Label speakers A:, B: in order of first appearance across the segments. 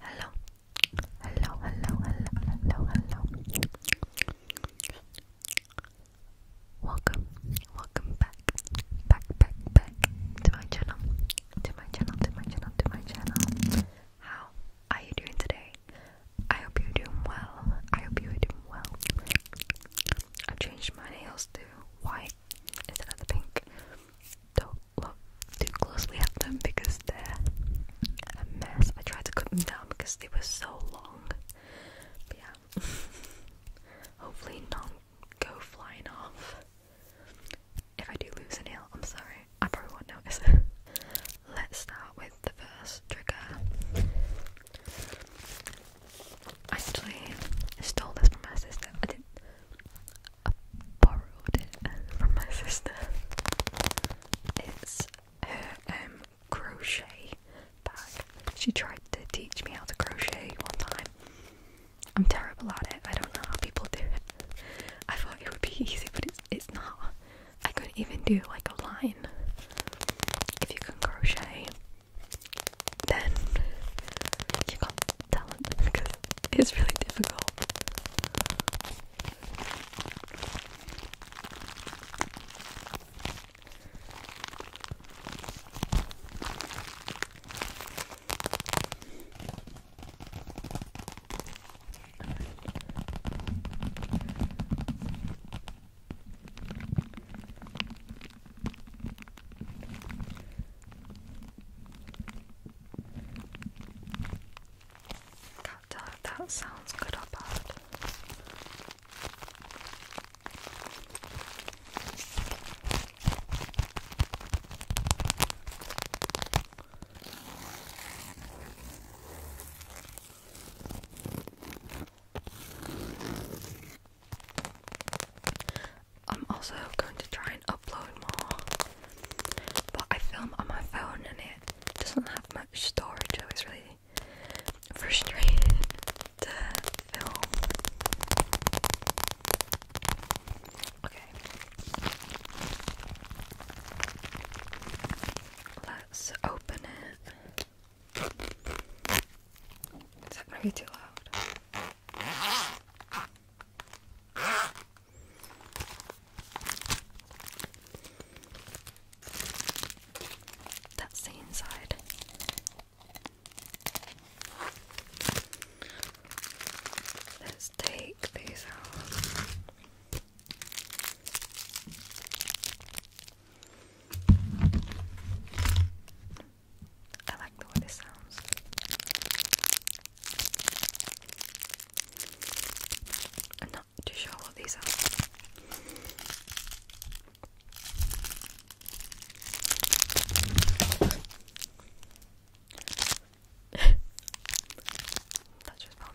A: Hello. Hello, hello, hello, hello, hello. Welcome, welcome back, back, back, back to my channel, to my channel, to my channel, to my channel. How are you doing today? I hope you're doing well. I hope you're doing well. I changed my nails to white instead of the pink. So look too closely at them because they're a mess. I tried to cut them down because they were so long. yeah. Hopefully not go flying off. If I do lose a nail, I'm sorry. I probably won't notice Let's start with the first trigger. Actually, stole this from my sister. I did borrowed it from my sister. It's her um, crochet bag. She tried to teach me how to crochet one time. I'm terrible at it. I don't know how people do it. I thought it would be easy, but it's not. I couldn't even do like a line. If you can crochet, then you got talent because It's really difficult. Can't tell if that sounds good or bad. I'm also going to try and upload more, but I film on my phone and it doesn't have much storage, so it's really frustrating to film. Okay. Let's open it. Is that gonna be too loud? That's the inside. Let's take these out. I like the way this sounds. I'm not too sure what these are. that just fell on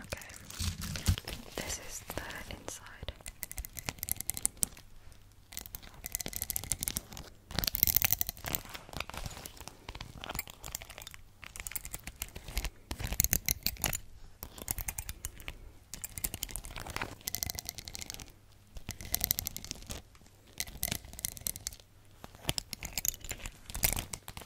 A: Okay, this is the inside.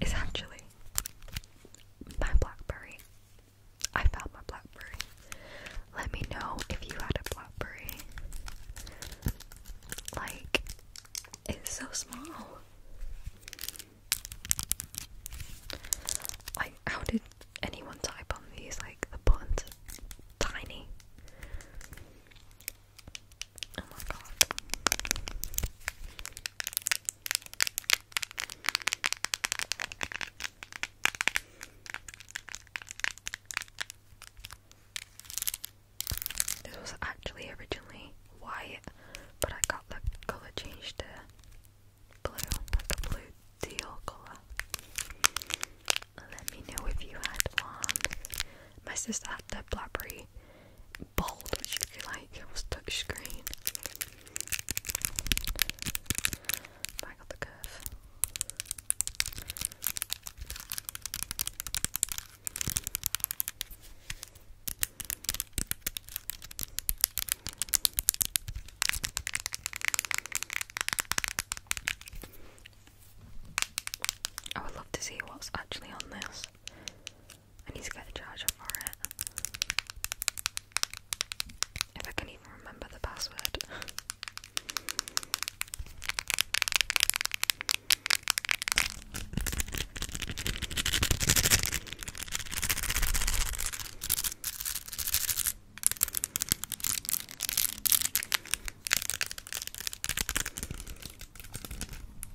A: It's actually my blackberry. I found my blackberry. Let me know if you had a blackberry. Like, it's so small. Like, how did anyone type on these? Like, the buttons tiny. Oh my god. This was actually originally white, but I got the colour changed to blue, like a blue teal colour. Let me know if you had one. My sister had the blackberry bold, which you like, it was touchscreen. I got the curve. Oh, I would love to see what's actually on this. I need to get the charger for it. If I can even remember the password.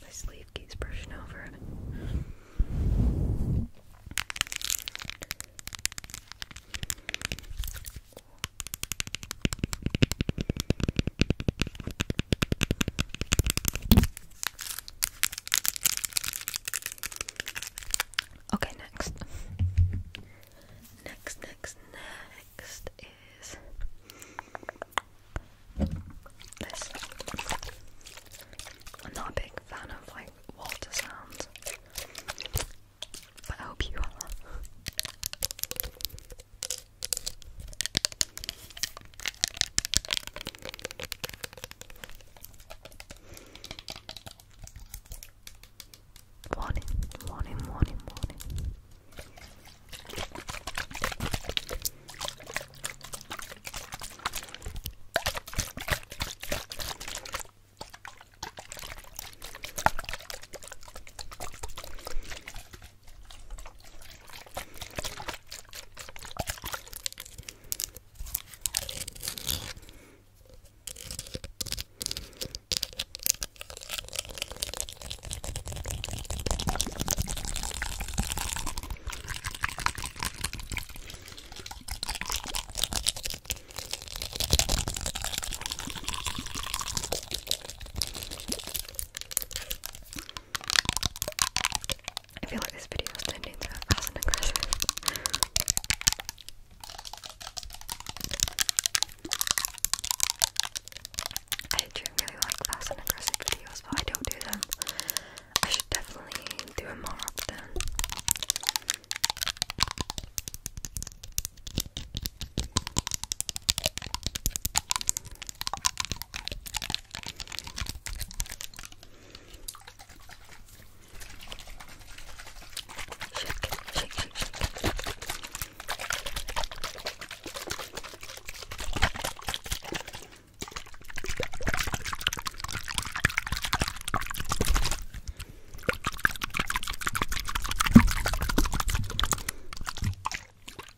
A: My sleeve keeps brushing over Okay, next. Next, next, next is this. I'm not a big fan of like Walter sounds, but I hope you are morning, morning, morning, morning. I feel like this video is tending to a fast and aggressive. I do really like fast and aggressive videos, but I don't do them. I should definitely do them more often.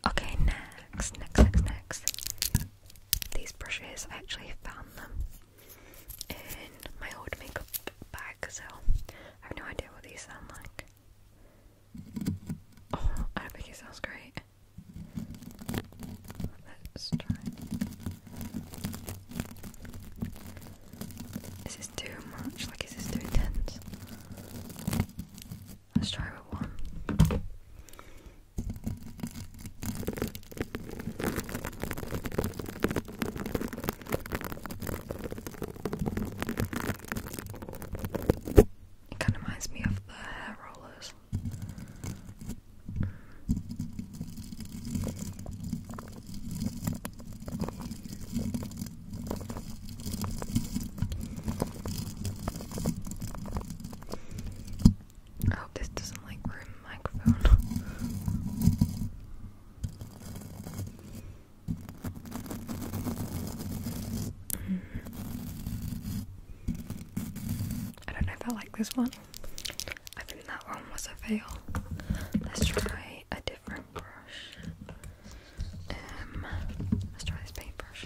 A: Okay, next, next, next, next. These brushes, I actually found them in my old makeup bag, so I have no idea what these sound like. Oh, I think it sounds great. Let's try. Is too much? Like, is this too intense? Let's try with one. It kind of reminds me of the hair rollers. I hope this doesn't like ruin microphone. I don't know if I like this one. I think that one was a fail. Let's try a different brush. Um, let's try this paintbrush.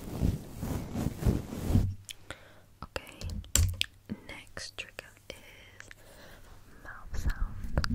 A: Okay, next trick is mouth sound.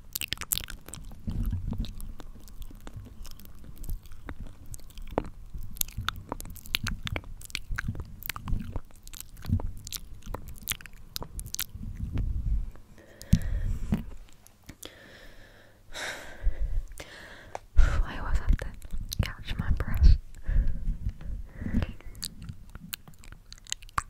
A: I always have to catch my breath.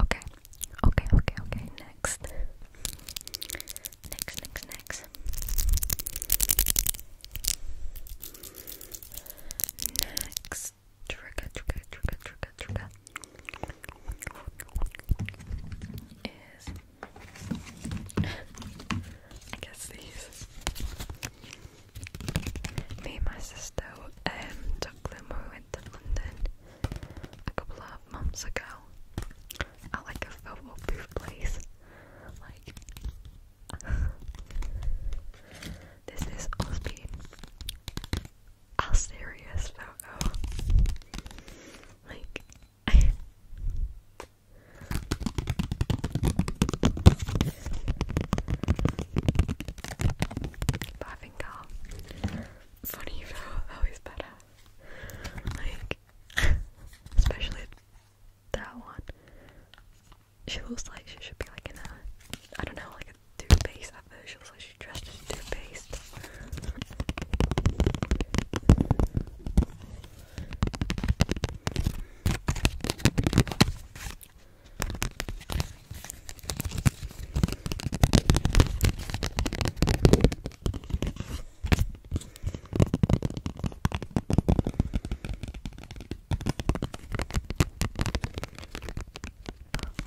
A: Okay, okay, okay, okay. Next, next, next, next. Next trigger, trigger, trigger, trigger, trigger is I guess these. Me and my sister um took them when we went to London a couple of months ago. At like a photo booth place. Like this is Osby, a serious photo. Like, I think our funny photo is better. Like, especially that one. She looks like she should be like in a, I don't know, like a two-faced advert. She looks like she's dressed as two-faced.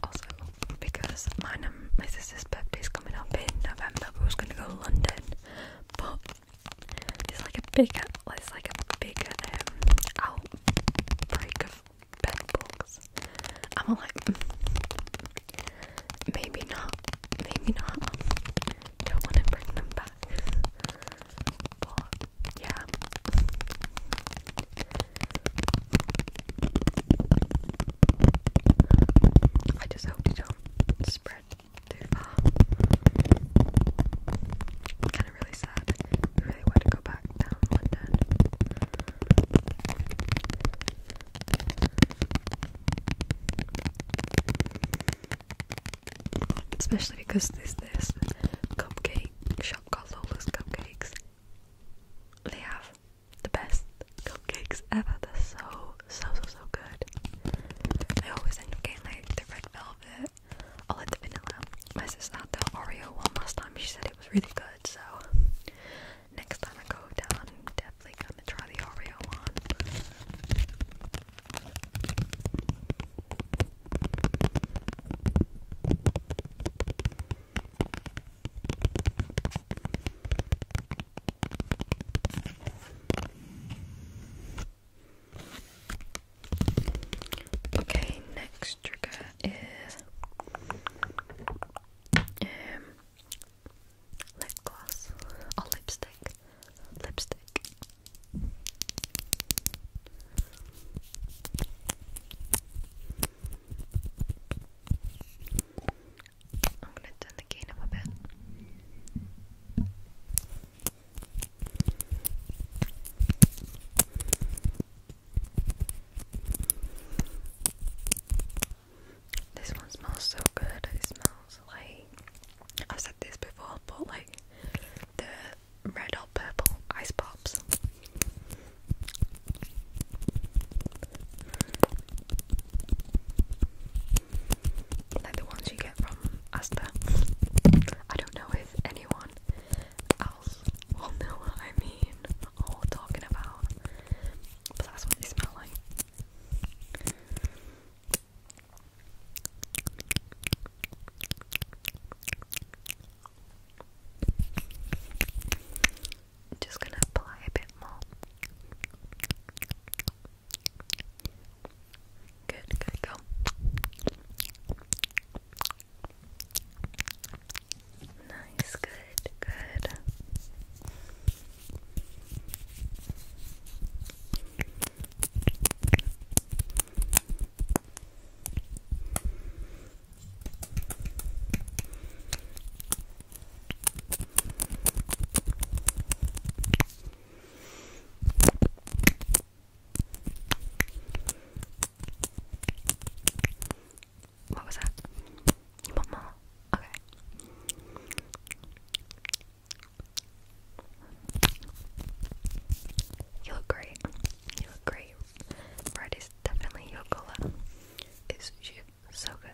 A: Also, because my sister's birthday's coming up in November, we was gonna go to London, but there's like a bigger, there's like a bigger um, outbreak of bed bugs. I'm like, mm, maybe not, maybe not. Don't want to bring them back yeah. I just hope it don't spread too far. kinda really sad. really want to go back down London. Especially because there's this cupcake shop called Lola's Cupcakes. They have the best cupcakes ever. They're so, so, so, so good. I always end up getting like the red velvet or oh, like the vanilla. My sister had the Oreo one last time. She said it was really good. So next time I go down, definitely gonna try the Oreo one. Okay, next trigger is um, lip gloss or lipstick lipstick. I'm gonna turn the gain up a bit. This one smells so good. It smells like I've said this before, but like the red or purple ice pops. Like the ones you get from Asda. I don't know if anyone else will know what I mean or talking about, but that's what they smell like. I'm just gonna apply a bit more. Good, good, go. Nice, good, good. What was that? You more? Okay. You look great. You look great. Red definitely your color. It you so good.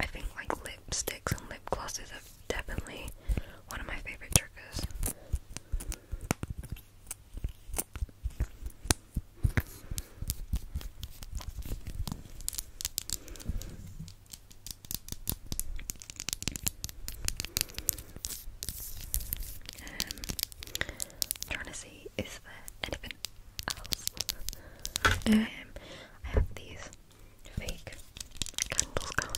A: I think like lipsticks and lip glosses are definitely one of my favorite triggers. Um, trying to see, is there anything else? Um, I have these fake candles going.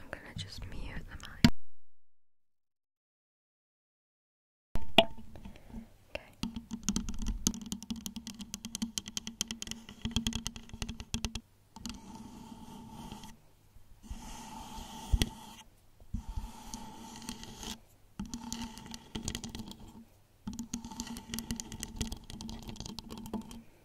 A: I'm gonna just mute the mic. Okay.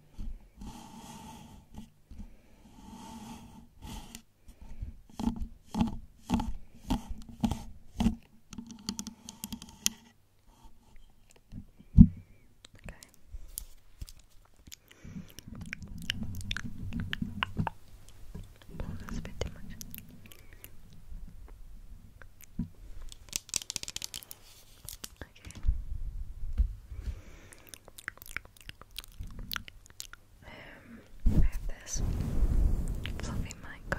A: Oh, that's a bit too much. Okay. Um, I have this fluffy mic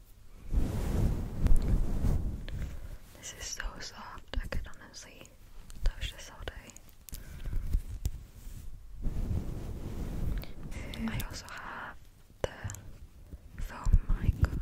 A: This is so soft, I could honestly touch this all day. I also have the foam mic cover.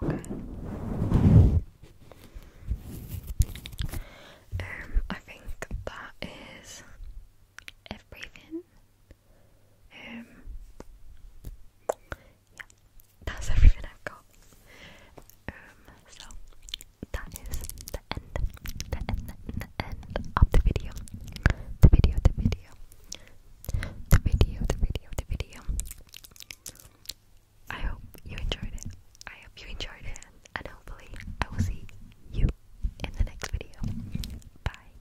A: Okay. Um, I think that is everything. Um, yeah, that's everything I've got. Um, so that is the end, the end, the end of the video. The video, the video, the video, the video, the video. I hope you enjoyed it. I hope you enjoyed it, and hopefully, I will see you in the next video. Bye.